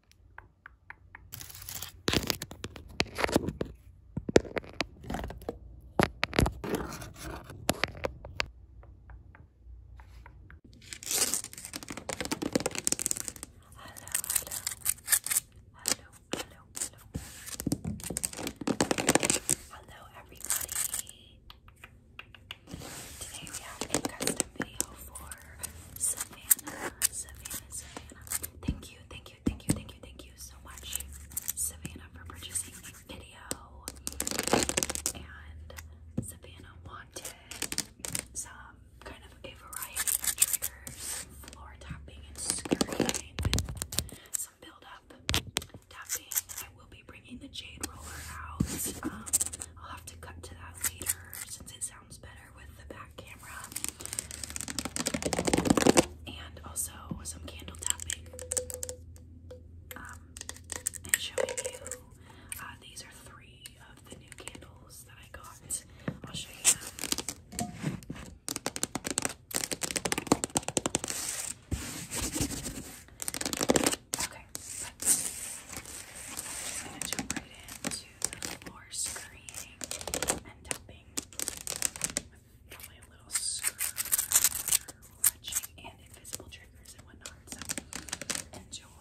hello, hello, hello, everybody. Today we have a custom video for Savannah, Savannah, Savannah. Thank you, thank you thank you, thank you, thank you so much, Savannah, for purchasing the video. And Savannah wanted some kind of a variety of triggers, floor tapping and skirting, some build-up tapping. I will be bringing the jade roller out. Um, I'll have to cut to that later since it's sounds better with the back camera. And also some candle tapping. Um, and showing you, uh, these are three of the new candles that I got. I'll show you them. Okay, I'm going to jump right into the floor and tapping tapping with probably a and invisible triggers and whatnot. enjoy.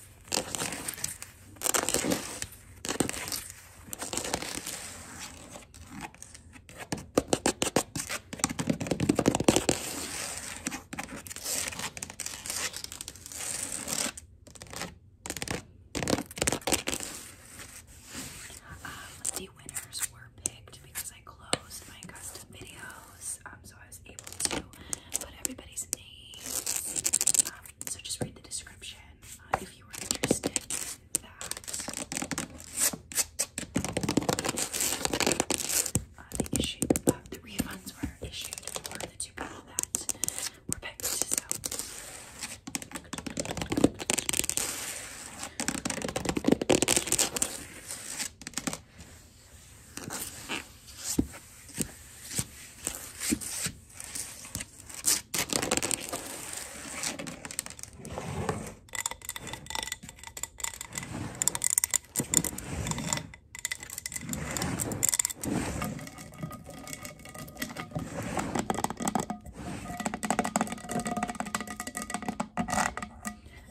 Um, the winners were picked because I closed my custom videos, um, so I was able to put everybody's names um, so just read the description uh, if you are interested uh, the issue, uh, the refunds were issued for the two people that were picked.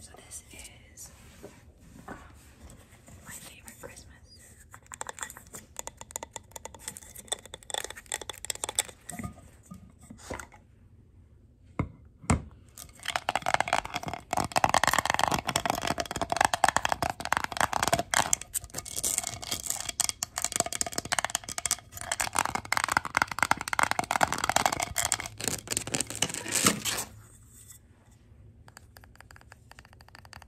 So this is um, my favorite Christmas.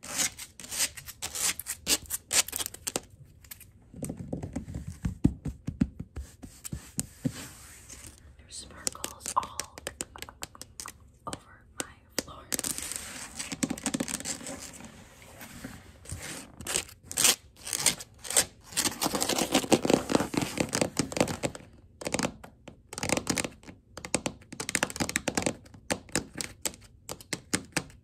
There's sparkles all over my floor.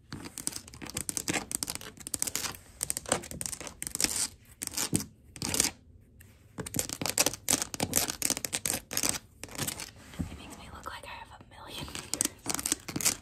It makes me look like I have a million fingers.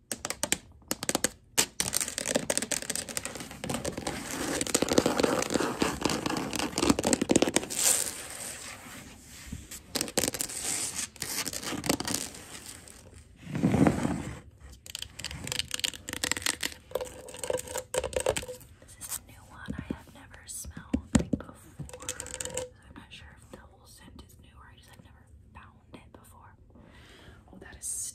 This is a new one I have never smelled before. I'm not sure if the whole scent is new or I just have never found it before. Oh, that is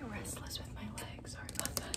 I'm very restless with my legs, sorry about that.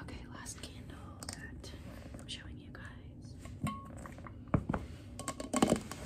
Okay, last candle that I'm showing you guys.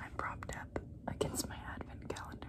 I'm propped up against my advent calendar.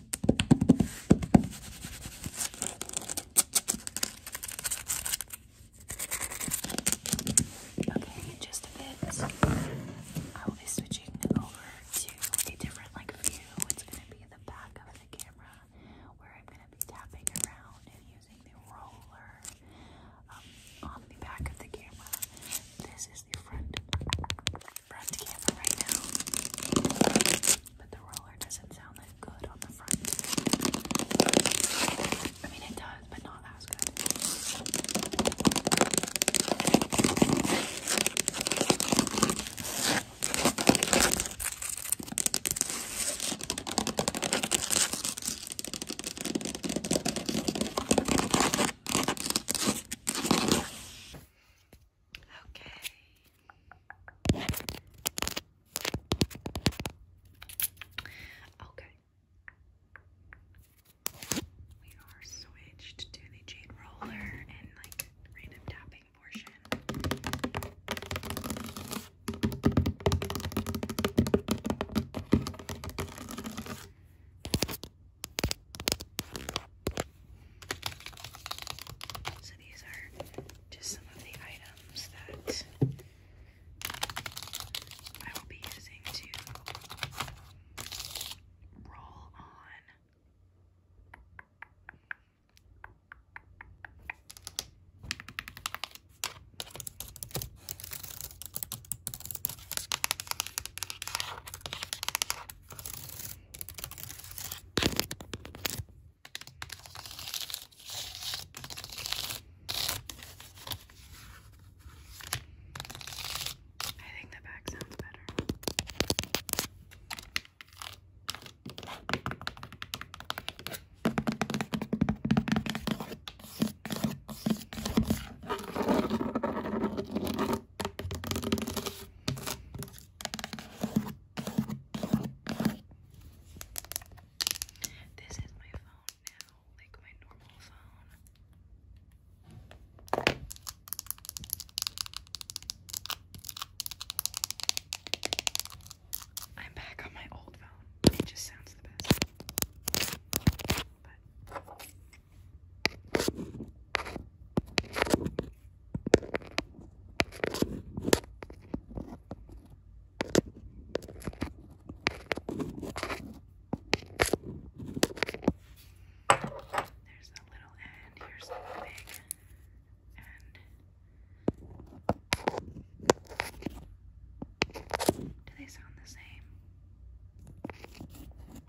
Okay, in just a bit, I will be switching over to a different like view. It's gonna be the back of the camera where I'm gonna be tapping around and using the roller um, on the back of the camera this is the front front camera right now. But the roller doesn't sound that good on the front. I mean it does, but not as good. Okay. Okay. We are switched to the jade roller and like random tapping portion. So these are just some of the items that I will be using to roll on I think the back sounds better. This is my phone now, like my normal phone. I'm back on my old phone. It just sounds the best. There's a little end, here's the big end. Do they sound the same?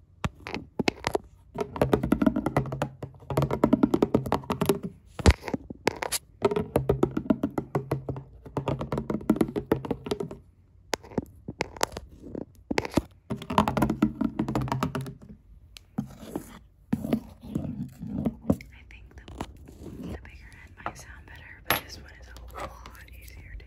I think the, the bigger end might sound better, but this one is a lot easier to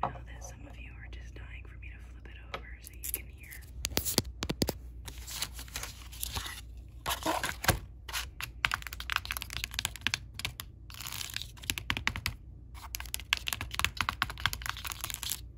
I know that some of you are just dying for me to flip it over so you can hear. I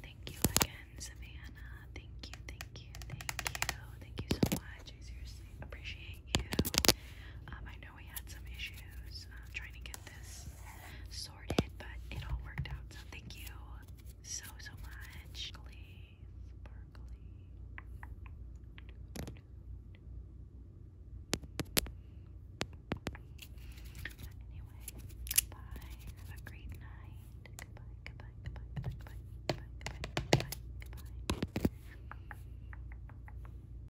Thank you again, Savannah. Thank you, thank you, thank you. Thank you so much. I seriously appreciate you. Um, I know we had some issues uh, trying to get this sorted, but it all worked out. So thank you so so much. Sparkly, sparkly. Anyway, goodbye. Have a great night. Goodbye. Goodbye. Goodbye. Goodbye. Goodbye. Goodbye. Goodbye. goodbye.